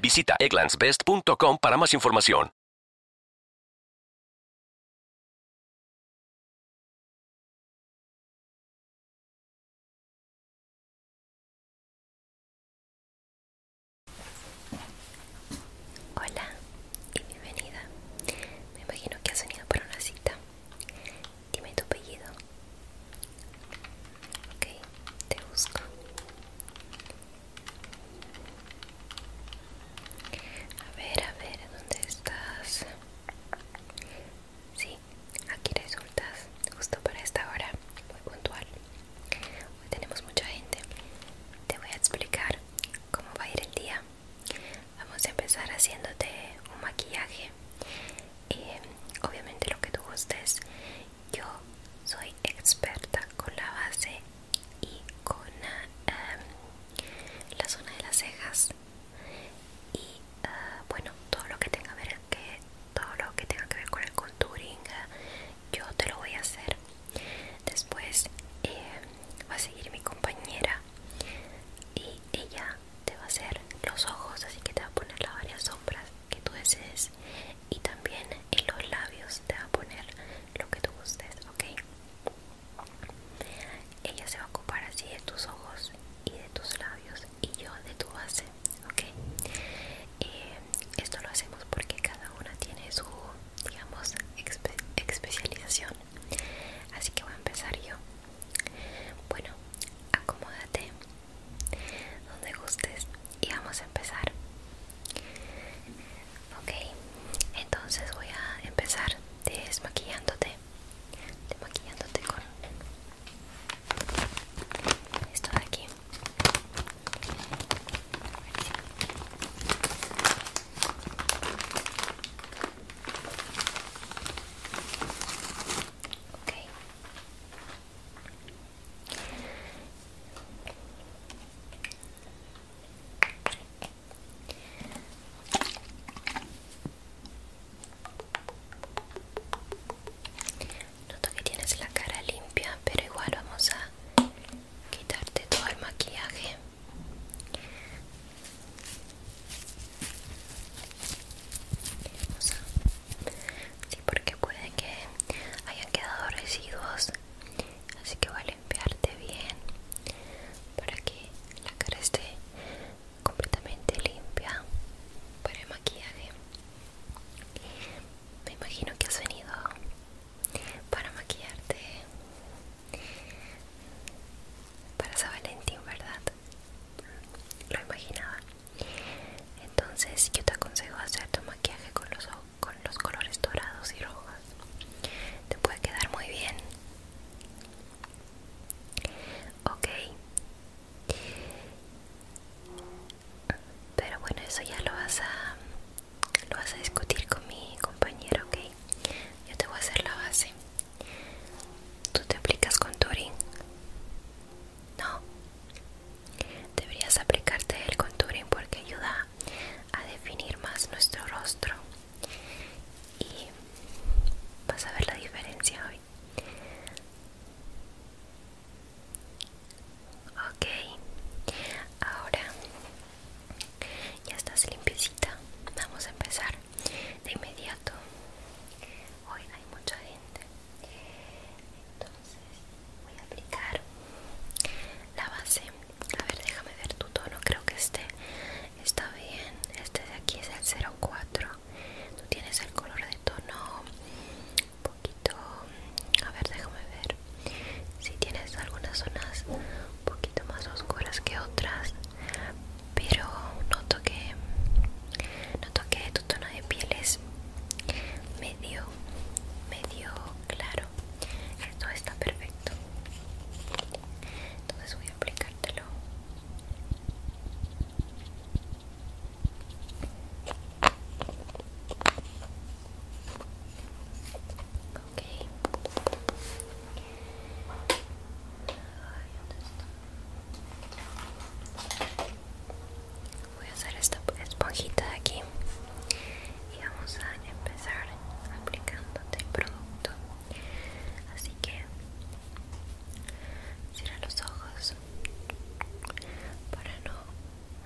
Visita egglandsbest.com para más información. Hola y bienvenida. Me imagino que has venido para una cita. Dime tu apellido. Ok, te busco. A ver, a ver, ¿dónde estás? Sí, aquí resultas justo para esta hora, muy puntual. Hoy tenemos mucha gente. Te voy a explicar cómo va a ir el día. Vamos a empezar haciéndote un maquillaje. Y eh, obviamente lo que tú gustes yo soy experta con la base y con em, la zona de las cejas y eh, bueno todo lo que tenga ver que todo lo que tenga que ver con el contouring eh, yo te lo voy a hacer después em, va a seguir mi compañera y ella te va a hacer los ojos así que te va a poner las varias sombras que tú desees y también en los labios te va a poner lo que tú gustes, ¿ok? Ella se va a ocupar así de tus ojos y de tus labios y yo de tu base, ¿ok? Eh, esto lo hacemos porque cada una tiene su, digamos, especialización. Así que voy a empezar yo. Bueno, acomódate donde gustes y vamos a empezar ok entonces voy a empezar desmaquillándote desmaquillándote con esto de aquí ok Noto que tienes la cara limpia, pero igual vamos a quitarte todo el maquillaje porque puede que hayan quedado residuos así que voy a limpiarte bien para que la cara esté completamente limpia para el maquillaje me imagino que has venido para maquillarte para San Valentín, ¿verdad? Lo imaginaba entonces yo te aconsejo hacer tu maquillaje con los, con los colores dorados y rojos. Te puede quedar muy bien. Ok. Pero bueno, eso ya lo vas a lo vas a discutir con mi compañero, ok. Yo te voy a hacer la base. Tú te aplicas contouring. No. Deberías aplicarte el contouring porque ayuda a definir más nuestro rostro. Y vas a ver la diferencia hoy. Ok, ahora ya estás limpiecita. Vamos a empezar de inmediato. Hoy hay mucha gente entonces voy a aplicar la base a ver déjame ver tu tono creo que este está bien este de aquí es el 04 tú tienes el color de tono un poquito a ver déjame ver si tienes algunas zonas un poquito más oscuras que otras pero noto que noto que tu tono de piel es medio medio claro esto está perfecto entonces voy a aplicártelo Ok. Voy a hacer esta esponjita de aquí y vamos a empezar aplicándote el producto. Así que cierra los ojos para no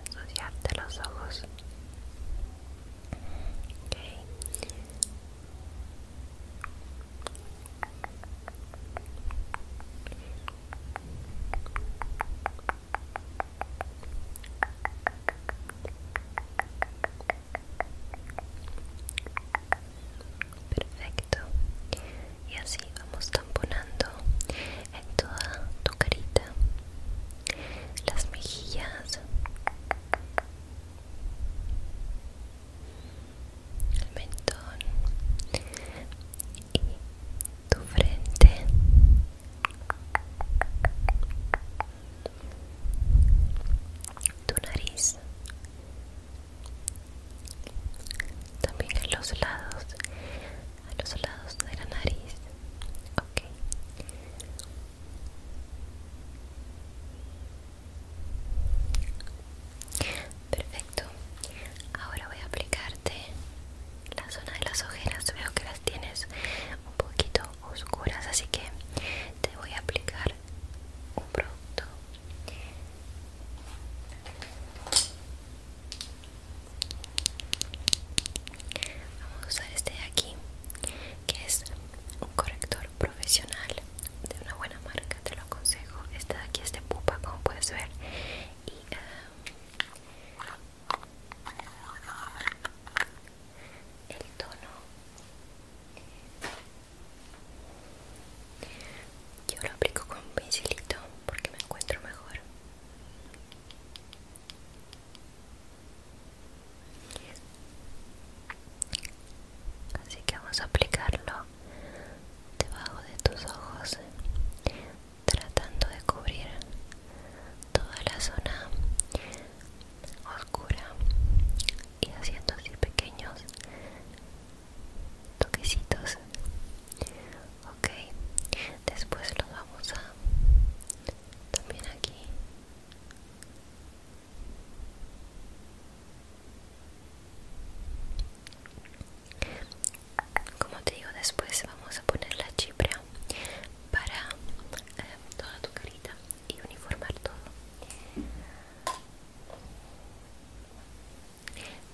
ensuciarte los ojos. Ok Perfecto. Y así vamos tamponando en toda tu carita, las mejillas el mentón y tu frente tu nariz también en los lados a los lados de la nariz ok Perfecto. Ahora voy a aplicarte la zona de las ojeras. Veo que las tienes un poquito oscuras, así que te voy a aplicar un producto vamos a usar este de aquí que es un corrector profesional de una buena marca te lo aconsejo esta de aquí es de pupa como puedes ver y ah, el tono yo lo aplico con un pincelito porque me encuentro mejor Así que vamos a aplicarlo debajo de tus ojos tratando de cubrir toda la zona oscura y haciendo así pequeños toquecitos ok después los vamos a también aquí como te digo, después vamos a poner la chipra para eh, toda tu carita y uniformar todo.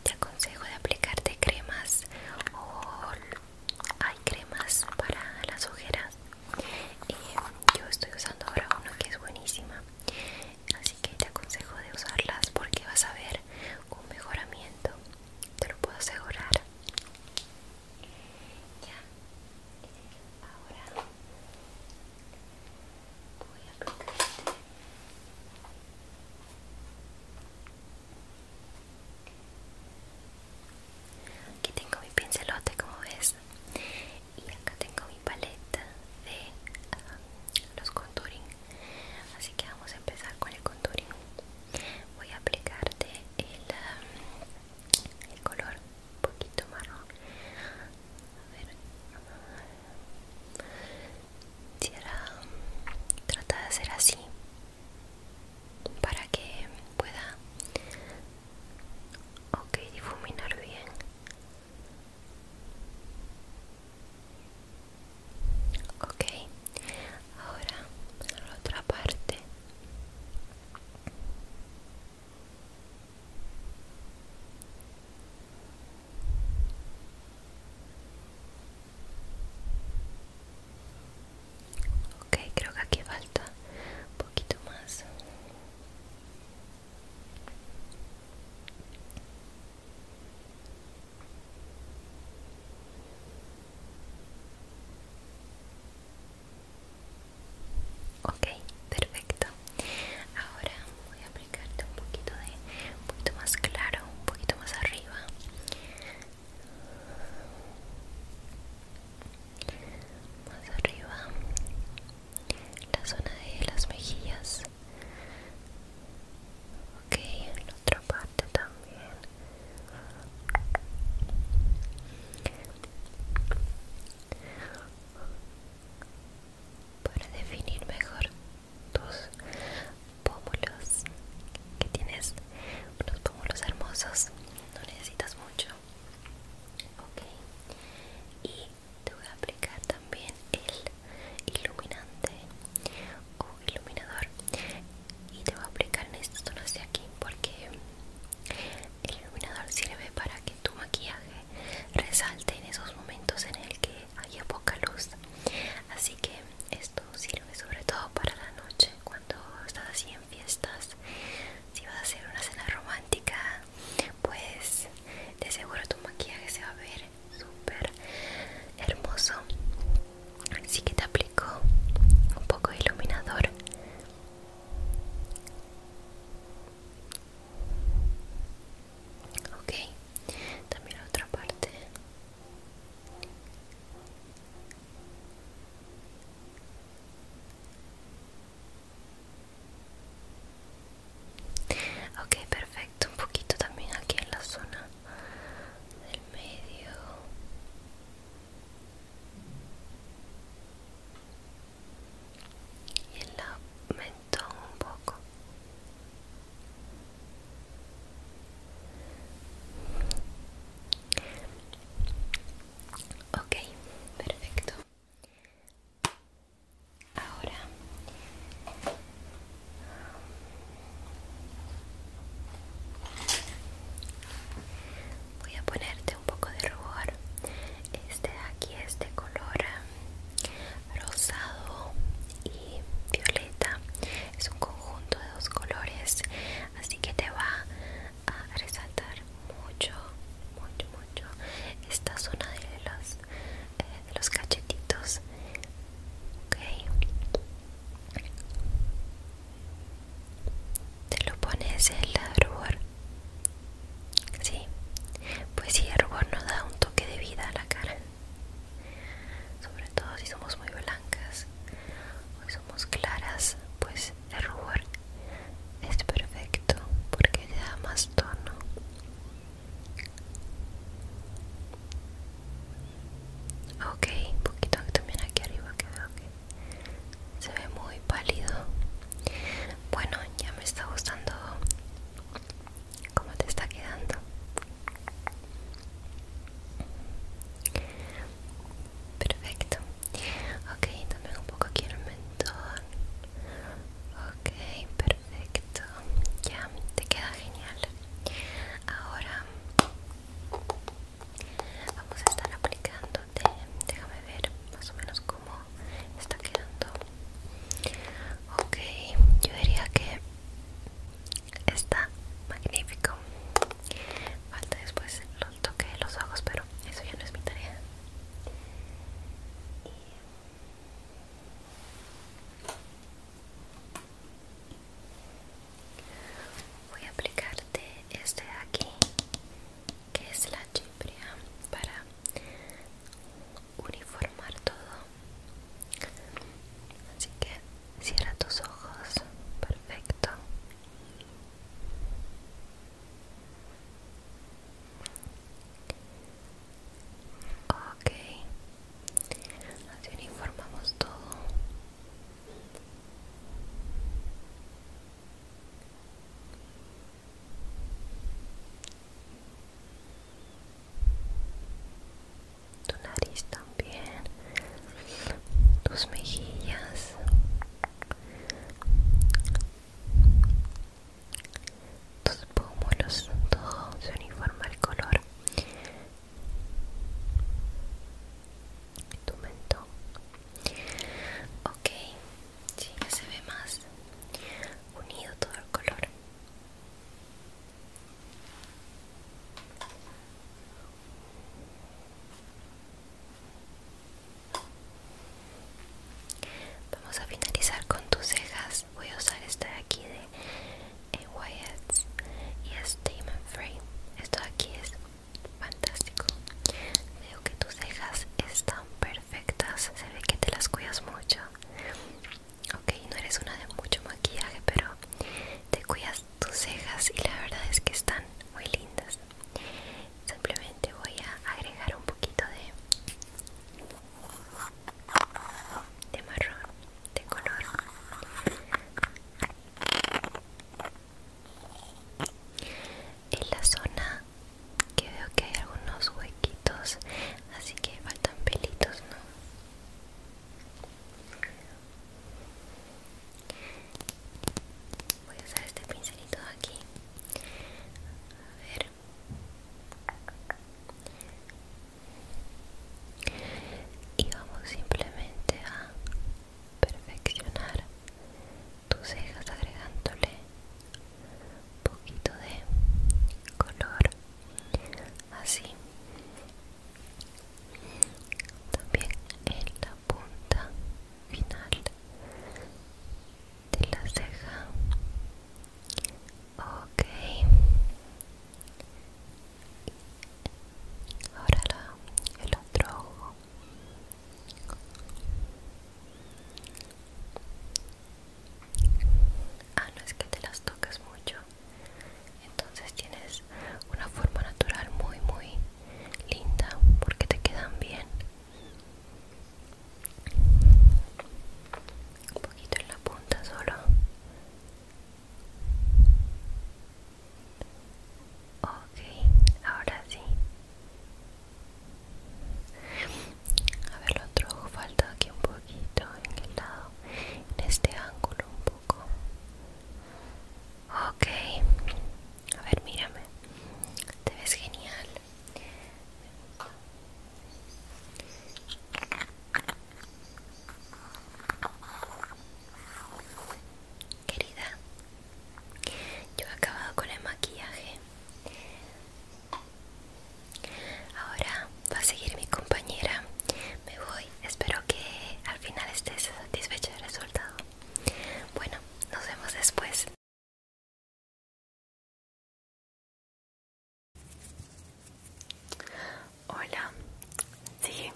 Te aconsejo de aplicarte cremas o hay cremas para las ojeras. yo estoy usando ahora una que es buenísima así que te aconsejo de usarlas porque vas a ver un mejoramiento te lo puedo asegurar ya ahora voy a este. Aquí tengo mi pincelote como ves y acá tengo mi paleta de ah, los contouring así que vamos a empezar con el contouring voy a aplicarte el, ah, el color un poquito marrón a ver mm, trata de hacer así para que pueda ok difuminar bien ok ahora la otra parte ok creo que aquí falta un poquito más Ok, perfecto. Ahora voy a aplicarte un poquito de un poquito más claro, un poquito más arriba. Más arriba, la zona de las mejillas ok en la otra parte también para definir mejor tus pómulos que tienes unos pómulos hermosos no necesitas mucho ok y te voy a aplicar también el iluminante o iluminador y te voy a aplicar en estas zonas de aquí porque el iluminador sirve para que tu maquillaje resalte en esos momentos en el que haya poca luz así que esto sirve sobre todo para la noche cuando estás así en fiestas si vas a hacer una cena romántica pues de seguro tu maquillaje se va a ver súper hermoso así que te aplico un poco de iluminador ok también la otra parte Ok, perfecto. Un poquito también aquí en la zona del medio. Y en la mentón un poco. Ok, perfecto. Ahora voy a ponerte un poco de rubor. Este de aquí es de color rosado y violeta. Es un conjunto de dos colores, así que te va a resaltar mucho, mucho, mucho esta zona de los, eh, de los cachetitos. Okay. Te lo pones el rubor. Sí, pues si el rubor nos da un toque de vida a la cara. Sobre todo si somos muy blancas o somos claras, pues el rubor es perfecto porque le da más tono ok un poquito también aquí arriba que veo que se ve muy pálido bueno ya me está gustando cómo te está quedando perfecto ok también un poco aquí en el mentón Ok, perfecto. Ya, te queda genial. Ahora vamos a estar aplicándote. Déjame ver más o menos cómo está quedando. Ok, yo diría que está magnífico. Falta después los toque los ojos, pero eso ya no es mi tarea. Voy a aplicarte este de aquí, que es la chipria, para uniformar todo. Así que cierra tus ojos, perfecto ok así uniformamos todo tu nariz también tus mejillas tus pómulos, todo se uniforma el color, tu mentón. Ok, sí, ya se ve más unido todo el color. Vamos a finalizar con tus cejas. Voy a usar esta de aquí de NYX eh, y es Frame. Esto de aquí es fantástico. Veo que tus cejas están perfectas. Se ve que te las cuidas mucho. Ok, no eres una de mucho maquillaje, pero te cuidas tus cejas y la verdad es que están muy lindas. Simplemente te voy a agregar un poquito de de marrón de color en la zona que veo que hay algunos huequitos así que faltan pelitos no voy a usar este pincelito de aquí a ver y vamos simplemente a perfeccionar tus cejas agregándole un poquito de color así también en la punta final de la ceja ok ahora el otro ojo ah no es que te las tocas mucho entonces tienes una forma natural muy muy linda porque te quedan bien un poquito en la punta solo ok ahora sí a ver el otro ojo falta aquí un poquito en el lado en este ángulo un poco ok a ver, mírame. Te ves genial. Querida, yo he acabado con el maquillaje. Ahora va a seguir mi compañera. Me voy. Espero que al final estés satisfecha del resultado. Bueno, nos vemos después. Hola, sí,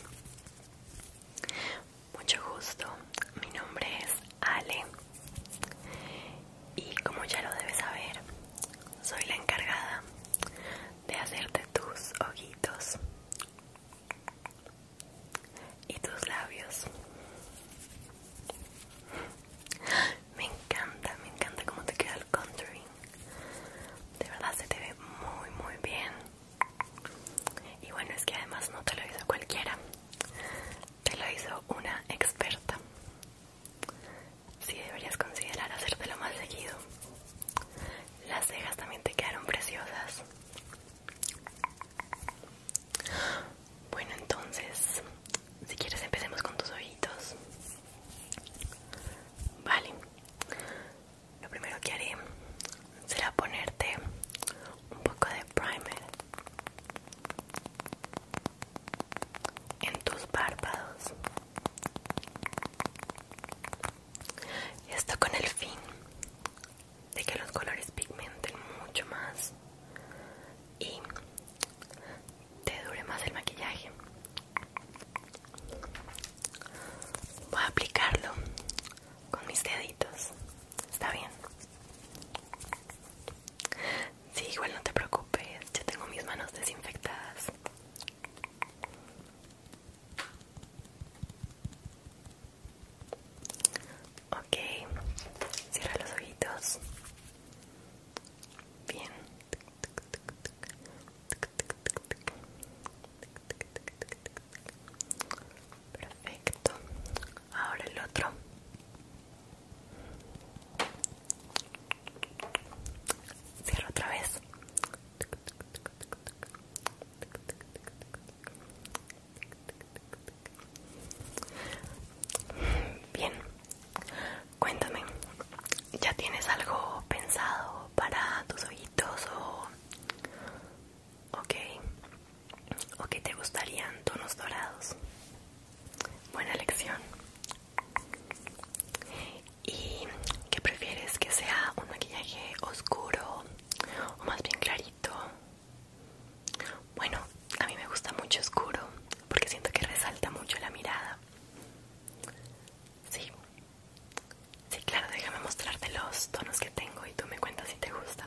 mucho gusto. Mi nombre es Ale y como ya lo debes saber, soy la encargada de hacerte tus ojitos y tus labios. Me encanta, me encanta cómo te queda el contouring. De verdad se te ve muy, muy bien. Y bueno, es que además no te lo hizo cualquiera. Te lo hizo una experta. Si deberías considerar hacértelo más seguido. Las cejas también te quedaron preciosas. Bueno, entonces, si quieres empecemos con tus ojitos. Vale. Lo primero que haré será ponerte un poco de primer en tus párpados. Esto con el fin de que los colores pigmenten mucho más y te dure más el maquillaje. Voy a aplicarlo con mis deditos. Está bien. Sí, igual no te preocupes. Ya tengo mis manos desinfectadas. Okay, cierra los ojitos. Bien. Perfecto. Ahora el otro. Cierra otra vez. Bien, cuéntame, ¿ya tienes algo pensado para tus ojitos o... Ok, o que te gustarían tonos dorados? Buena elección. ¿Y qué prefieres? ¿Que sea un maquillaje oscuro o más bien clarito? Bueno, a mí me gusta mucho oscuro porque siento que resalta mucho la mirada. Sí, sí, claro, déjame mostrarte los tonos que tengo y tú me cuentas si te gusta.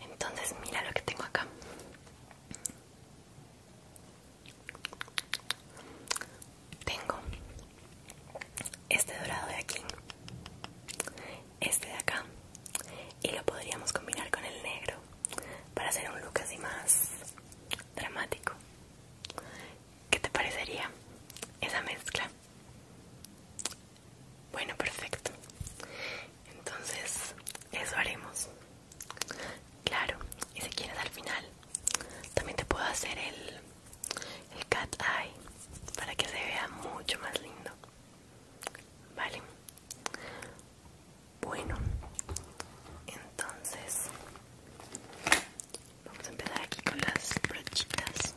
Entonces mira lo que tengo acá. Tengo este dorado de aquí, este de acá, y lo podríamos combinar con el negro para hacer un look así más dramático. ¿Qué te parecería esa mezcla? Bueno, perfecto. Entonces, eso haremos. Claro, y si quieres al final, también te puedo hacer el, cat eye para que se vea mucho más lindo. Vale. Bueno, entonces vamos a empezar aquí con las brochitas.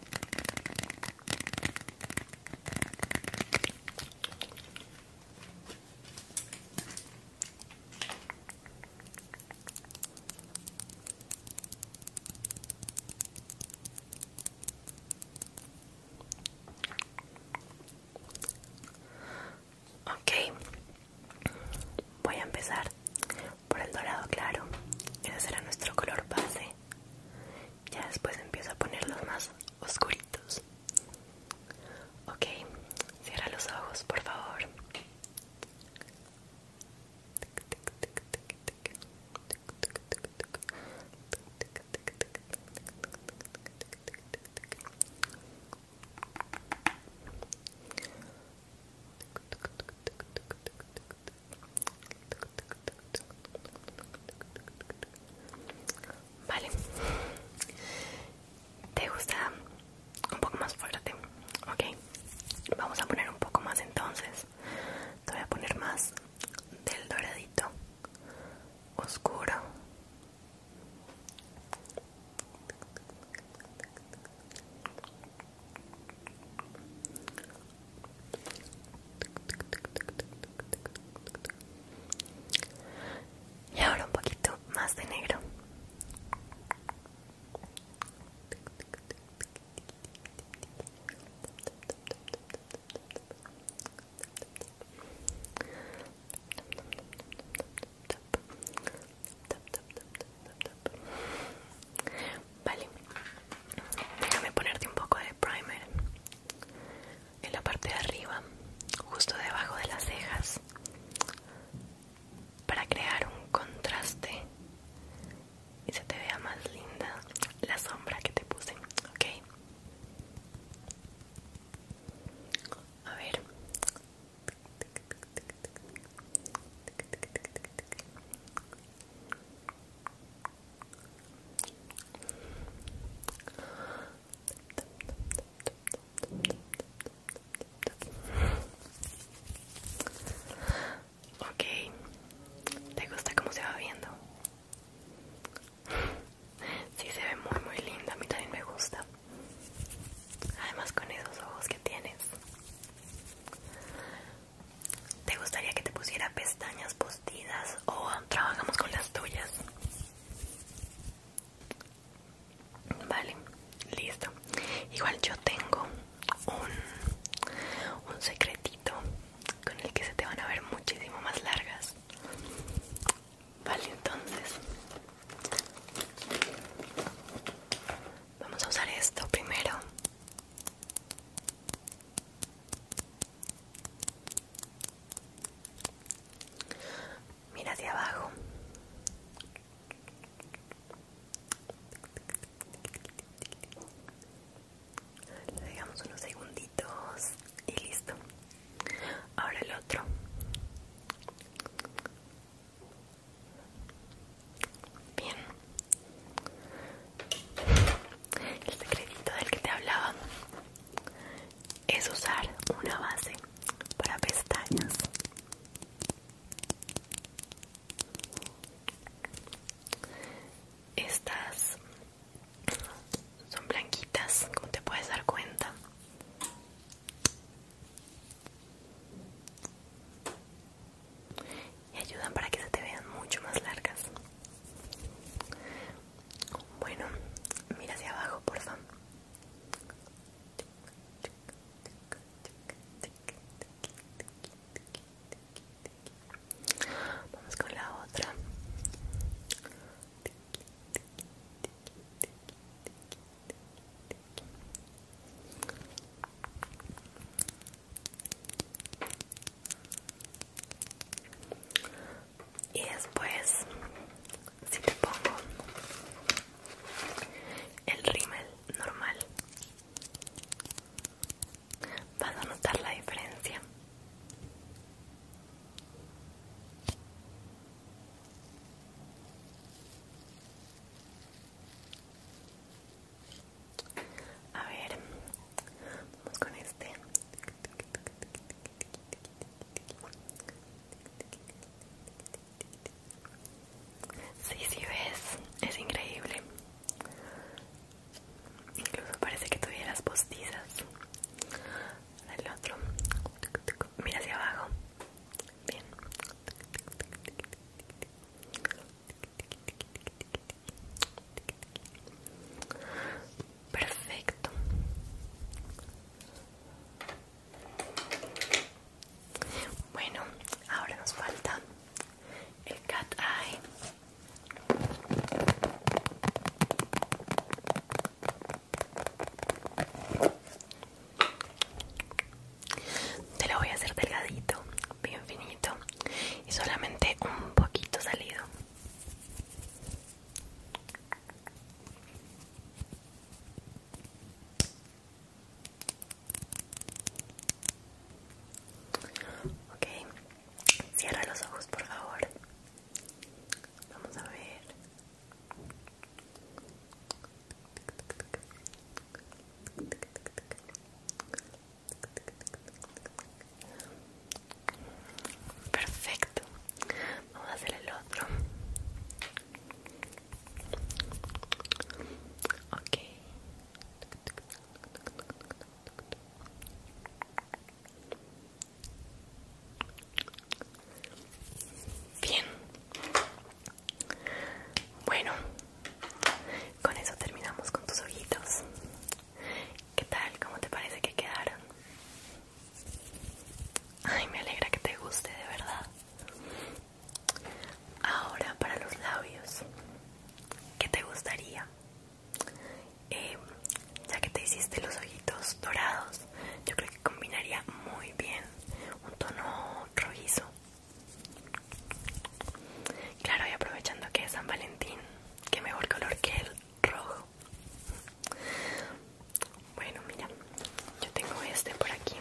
Ok, voy a empezar por el dorado claro, ese será nuestro color base ya después empiezo a ponerlos más oscuritos. Ok, cierra los ojos, por favor. Vale. ¿Te gusta un poco más fuerte? Ok. Vamos a poner un poco más entonces. Te voy a poner más del doradito oscuro. Y ahora un poquito más de negro. Vale, déjame ponerte un poco de primer en la parte de arriba, justo debajo de las cejas, para crear un contraste y se te vea más linda la sombra que te puse, ¿ok? A ver. Ok, ¿te gusta cómo se va viendo? Sí, se ve muy muy linda, a mí también me gusta. Además con esos ojos que tienes. ¿Te gustaría que te pusiera pestañas postidas o trabajamos con las tuyas? Vale, listo. Igual yo tengo un, secretito con el que se te van a ver muchísimo más largas. Vale, entonces vamos a usar esto primero. Mira hacia abajo. Le dejamos unos segunditos y listo. Ahora el otro. Bien. El secretito del que te hablaba es usar una base para pestañas. Estas son blanquitas, como te puedes dar cuenta y ayudan para que se te vean mucho más largas. Bueno, mira hacia abajo, por favor. Vamos con la otra y después si me pongo el rímel normal vas a notar la diferencia a ver, vamos con este. Si, si ves, es increíble. Incluso parece que Las postizas. El otro, mira hacia abajo. Bien. Perfecto. Bueno, ahora nos falta el cat eye. Te lo voy a hacer delgadito, bien finito y solamente un poquito salido. Ok, cierra los ojos por favor. Vamos a ver. Perfecto. Vamos a hacer el otro. Ok. Bien. Bueno, con eso terminamos con tus ojitos. ¿Qué tal? ¿Cómo te parece que quedaron? Ay, me alegra que te guste, de verdad. Ahora para los labios. ¿Qué te gustaría? Eh, ya que te hiciste los ojitos dorados, yo creo que combinaría muy bien un tono rojizo Claro, y aprovechando que es San Valentín, qué mejor color que el rojo. Bueno, mira, yo tengo este por aquí.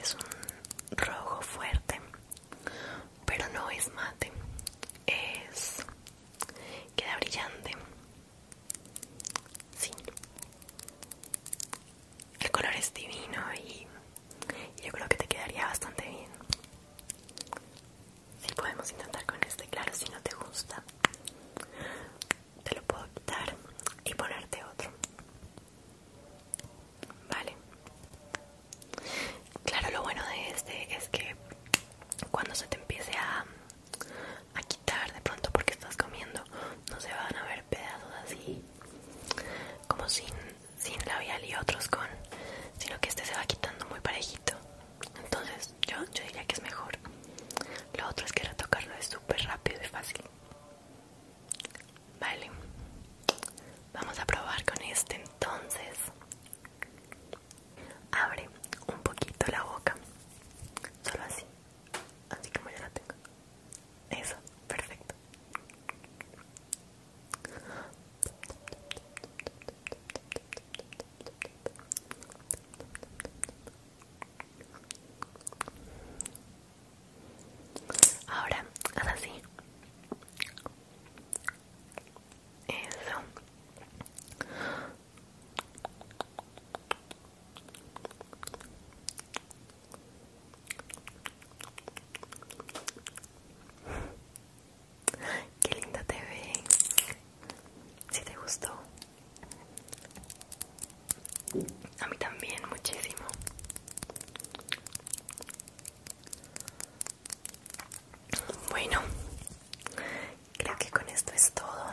Es un rojo fuerte, pero no es mate, es queda brillante Sí. El color es divino y yo creo que te quedaría bastante bien. Si podemos intentar con este, claro, si no te gusta, te lo puedo quitar y ponerte otro. Vale. Claro, lo bueno de este es que cuando se te empiece a a quitar de pronto porque estás comiendo no se van a ver pedazos así como sin, sin labial y otros con sino que este se va quitando muy parejito entonces yo, yo diría que es mejor lo otro es que retocarlo es súper rápido y fácil vale vamos a probar con este entonces abre un poquito la boca solo así así como ya la tengo eso, perfecto. Ahora, haz así. Eso. Qué linda te ves. Si te gustó. A mí también muchísimo. Bueno, creo que con esto es todo.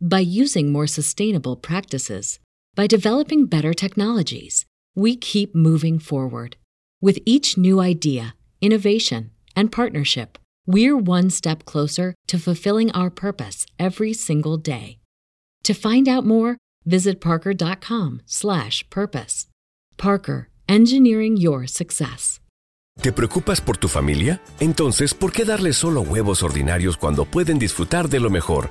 By using more sustainable practices, by developing better technologies, we keep moving forward. With each new idea, innovation, and partnership, we're one step closer to fulfilling our purpose every single day. To find out more, visit parker.com/purpose. Parker, engineering your success. ¿Te preocupas por tu familia? Entonces, ¿por qué darle solo huevos ordinarios cuando pueden disfrutar de lo mejor?